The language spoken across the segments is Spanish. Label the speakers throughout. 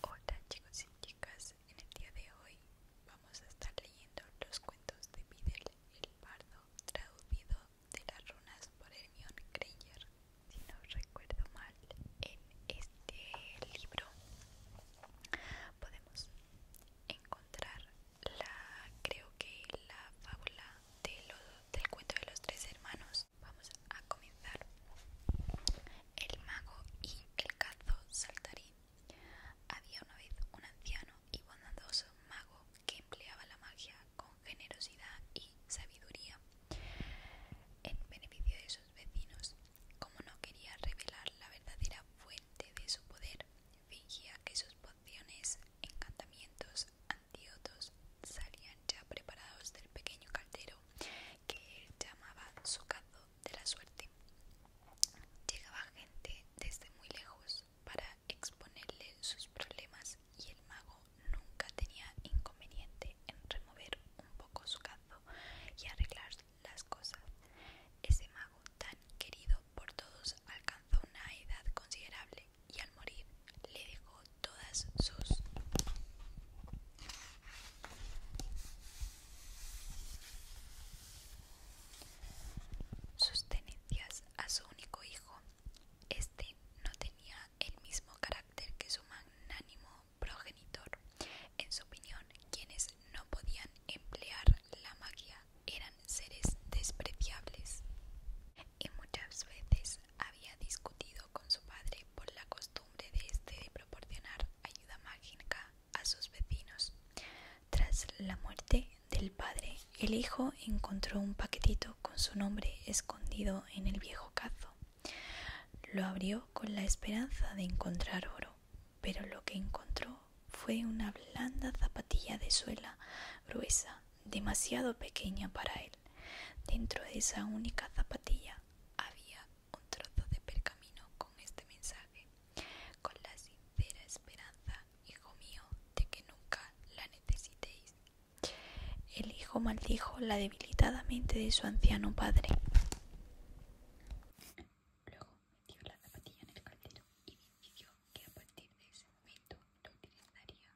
Speaker 1: Hola chicos y chicas, en el día de hoy vamos a estar leyendo los cuentos de Videl el Pardo traducido de las runas por Hermione Granger. Si no recuerdo mal, en este libro podemos encontrar la, creo que la fábula del cuento de los tres hermanos Vamos a comenzar. El mago y el cazo saltarín. Había una vez un anciano y bondadoso mago que empleaba la magia con generosidad y sabiduría en beneficio de sus vecinos. Como no quería revelar la verdadera fuente de su poder, fingía que sus pociones, encantamientos, antídotos salían ya preparados del pequeño caldero que él llamaba su cazo de la suerte. Llegaba gente desde muy lejos para exponerle sus problemas y el mago nunca tenía inconveniente en remover un poco su cazo y arreglar las cosas. Ese mago tan querido por todos alcanzó una edad considerable y al morir le dejó todas sus tenencias a su único hijo. Este no tenía el mismo carácter que su magnánimo progenitor. En su opinión, quienes no podían emplear la magia eran seres despreciables y muchas veces había discutido con su padre por la costumbre de este de proporcionar ayuda mágica a sus vecinos. Tras la muerte del padre, el hijo encontró un paquetito con su nombre escondido en el viejo cazo. Lo abrió con la esperanza de encontrar oro, pero lo que encontró fue una blanda zapatilla de suela gruesa, demasiado pequeña para él. Dentro de esa única zapatilla había un trozo de pergamino con este mensaje, con la sincera esperanza, hijo mío, de que nunca la necesitéis. El hijo maldijo la debilitada mente de su anciano padre. Luego metió la zapatilla en el caldero y decidió que a partir de ese momento lo utilizaría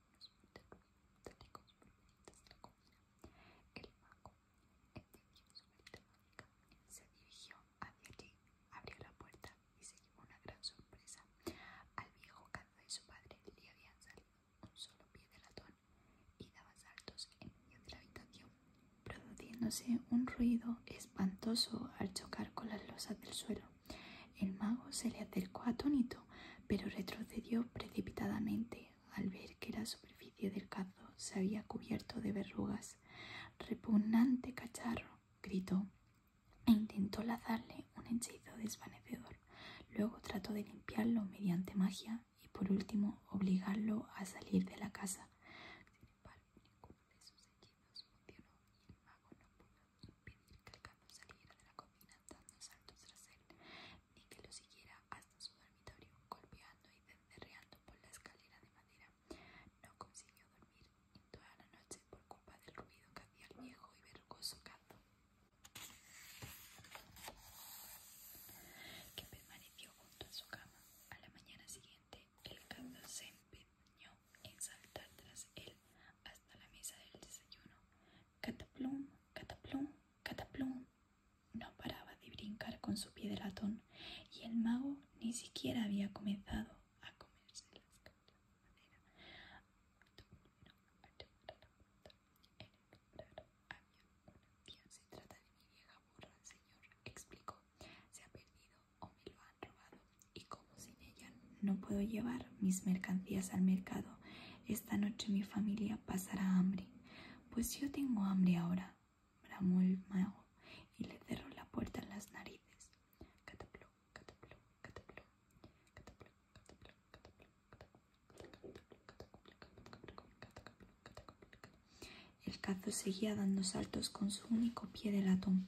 Speaker 1: El mago, entendió su se dirigió hacia allí, abrió la puerta y se llevó una gran sorpresa. Al viejo cazador y su padre le habían salido un solo pie de latón y daba saltos en medio de la habitación, produciéndose un ruido espantoso al chocar con las losas del suelo. El mago se le acercó atónito, pero retrocedió precipitadamente al ver que la superficie del cazo se había cubierto de verrugas. Repugnante cacharro, gritó, e intentó lazarle un hechizo desvanecedor. Luego trató de limpiarlo mediante magia y por último obligarlo a salir de la casa. de sus funcionó el mago no pudo Impedir que el gato saliera de la cocina dando saltos tras él, ni que lo siguiera hasta su dormitorio, golpeando y denderreando por la escalera de madera. No consiguió dormir toda la noche por culpa del ruido que hacía el viejo y vergoso gato, que permaneció junto a su cama. A la mañana siguiente, el gato se empeñó en saltar tras él hasta la mesa del desayuno. Cataplum, cataplum, cataplum. No paraba de brincar con su pie de y el mago ni siquiera había comenzado a comerse las caras de madera. se trata de señor, explicó. Se ha perdido o y como sin ella no puedo llevar mis mercancías al mercado, esta noche mi familia pasará hambre. Pues yo tengo hambre ahora, bramó el mago y le cerró la puerta en las narices. El cazo seguía dando saltos con su único pie de latón.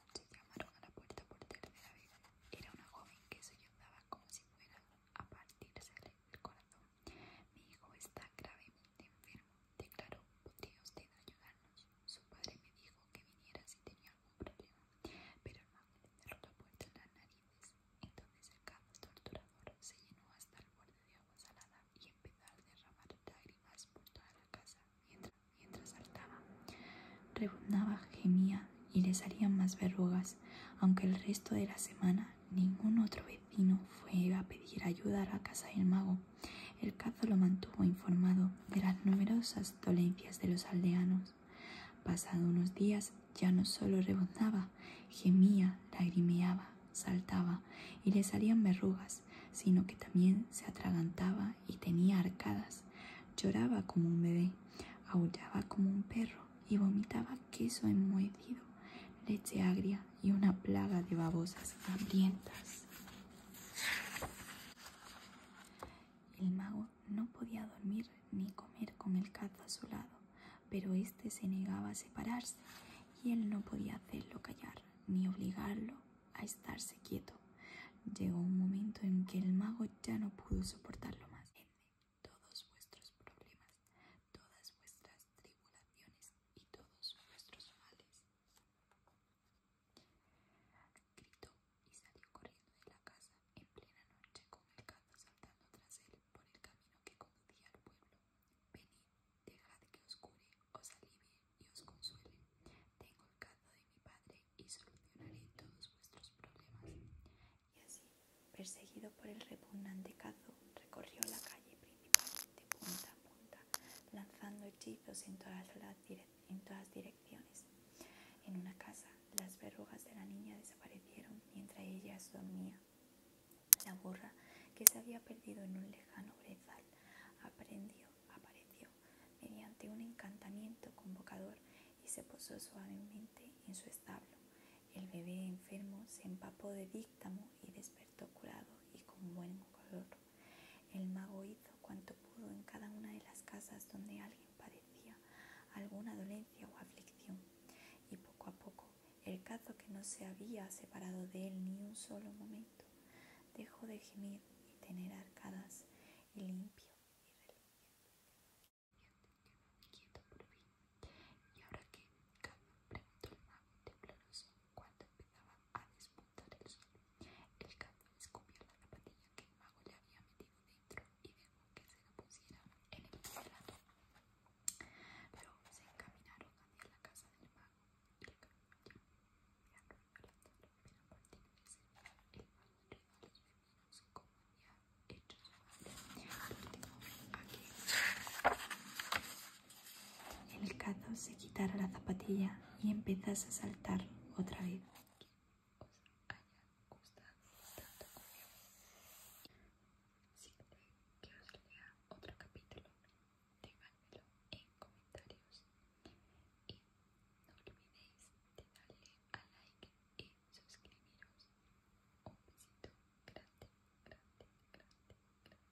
Speaker 1: se llamaron a la puerta por tercera vez. Era una joven que sollozaba como si fuera a partirse el corazón. Mi hijo está gravemente enfermo, declaró. ¿Podría usted ayudarnos? Su padre me dijo que viniera si tenía algún problema, pero el mamá le la puerta en las narices. Entonces el gato torturador se llenó hasta el borde de agua salada y empezó a derramar lágrimas por toda la casa mientras mientras saltaba. Rebuznaba, gemía y le salían más verrugas, aunque el resto de la semana ningún otro vecino fue a pedir ayuda a la casa del mago. El cazo lo mantuvo informado de las numerosas dolencias de los aldeanos. Pasado unos días ya no solo rebuznaba, gemía, lagrimeaba, saltaba y le salían verrugas, sino que también se atragantaba y tenía arcadas, lloraba como un bebé, aullaba como un perro y vomitaba queso enmohecido, leche agria y una plaga de babosas hambrientas. El mago no podía dormir ni comer con el cazo a su lado, pero éste se negaba a separarse y él no podía hacerlo callar ni obligarlo a estarse quieto. Llegó un momento en que el mago ya no pudo soportarlo más. todos vuestros problemas, todas vuestras tribulaciones y todos vuestros males. Gritó y salió corriendo de la casa en plena noche con el gato saltando tras él por el camino que conducía al pueblo. Venid, Dejad que os cure, os alivie y os consuele. Tengo el cazo de mi padre y solucionaré todos vuestros problemas. Y así, perseguido por el repugnante cazo, recorrió la calle principalmente de punta a punta, lanzando hechizos en todas, las en todas direcciones. En una casa, las verrugas de la niña desaparecieron mientras ella dormía. La burra, que se había perdido en un lejano brezal, aprendió, apareció mediante un encantamiento convocador y se posó suavemente en su establo. El bebé enfermo se empapó de díctamo y despertó curado y con buen color. El mago hizo cuanto pudo en cada una de las casas donde alguien padecía alguna dolencia o aflicción y poco a poco el cazo que no se había separado de él ni un solo momento, dejó de gemir y tener arcadas y limpio y religiosamente ¿Y ahora que preguntó el mago tembloroso cuando empezaba a despuntar el sol. El cazo descubrió la zapatilla que el mago le había metido dentro y dejó que se la pusiera en el plato. Luego se encaminaron hacia la casa del mago y le cayó la Mirando violentamente la partida de cerca, el mago entregó a los vecinos como había hecho su madre al último El cazo se quitara la zapatilla y empezase a saltar otra vez. Que haya gustado tanto si queréis que os lea otro capítulo, dejadmelo en comentarios. Y no olvidéis de darle a like y suscribiros. Un besito grande, grande, grande, grande, grande.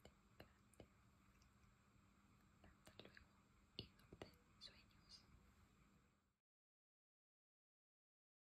Speaker 1: Hasta luego y no te sueños.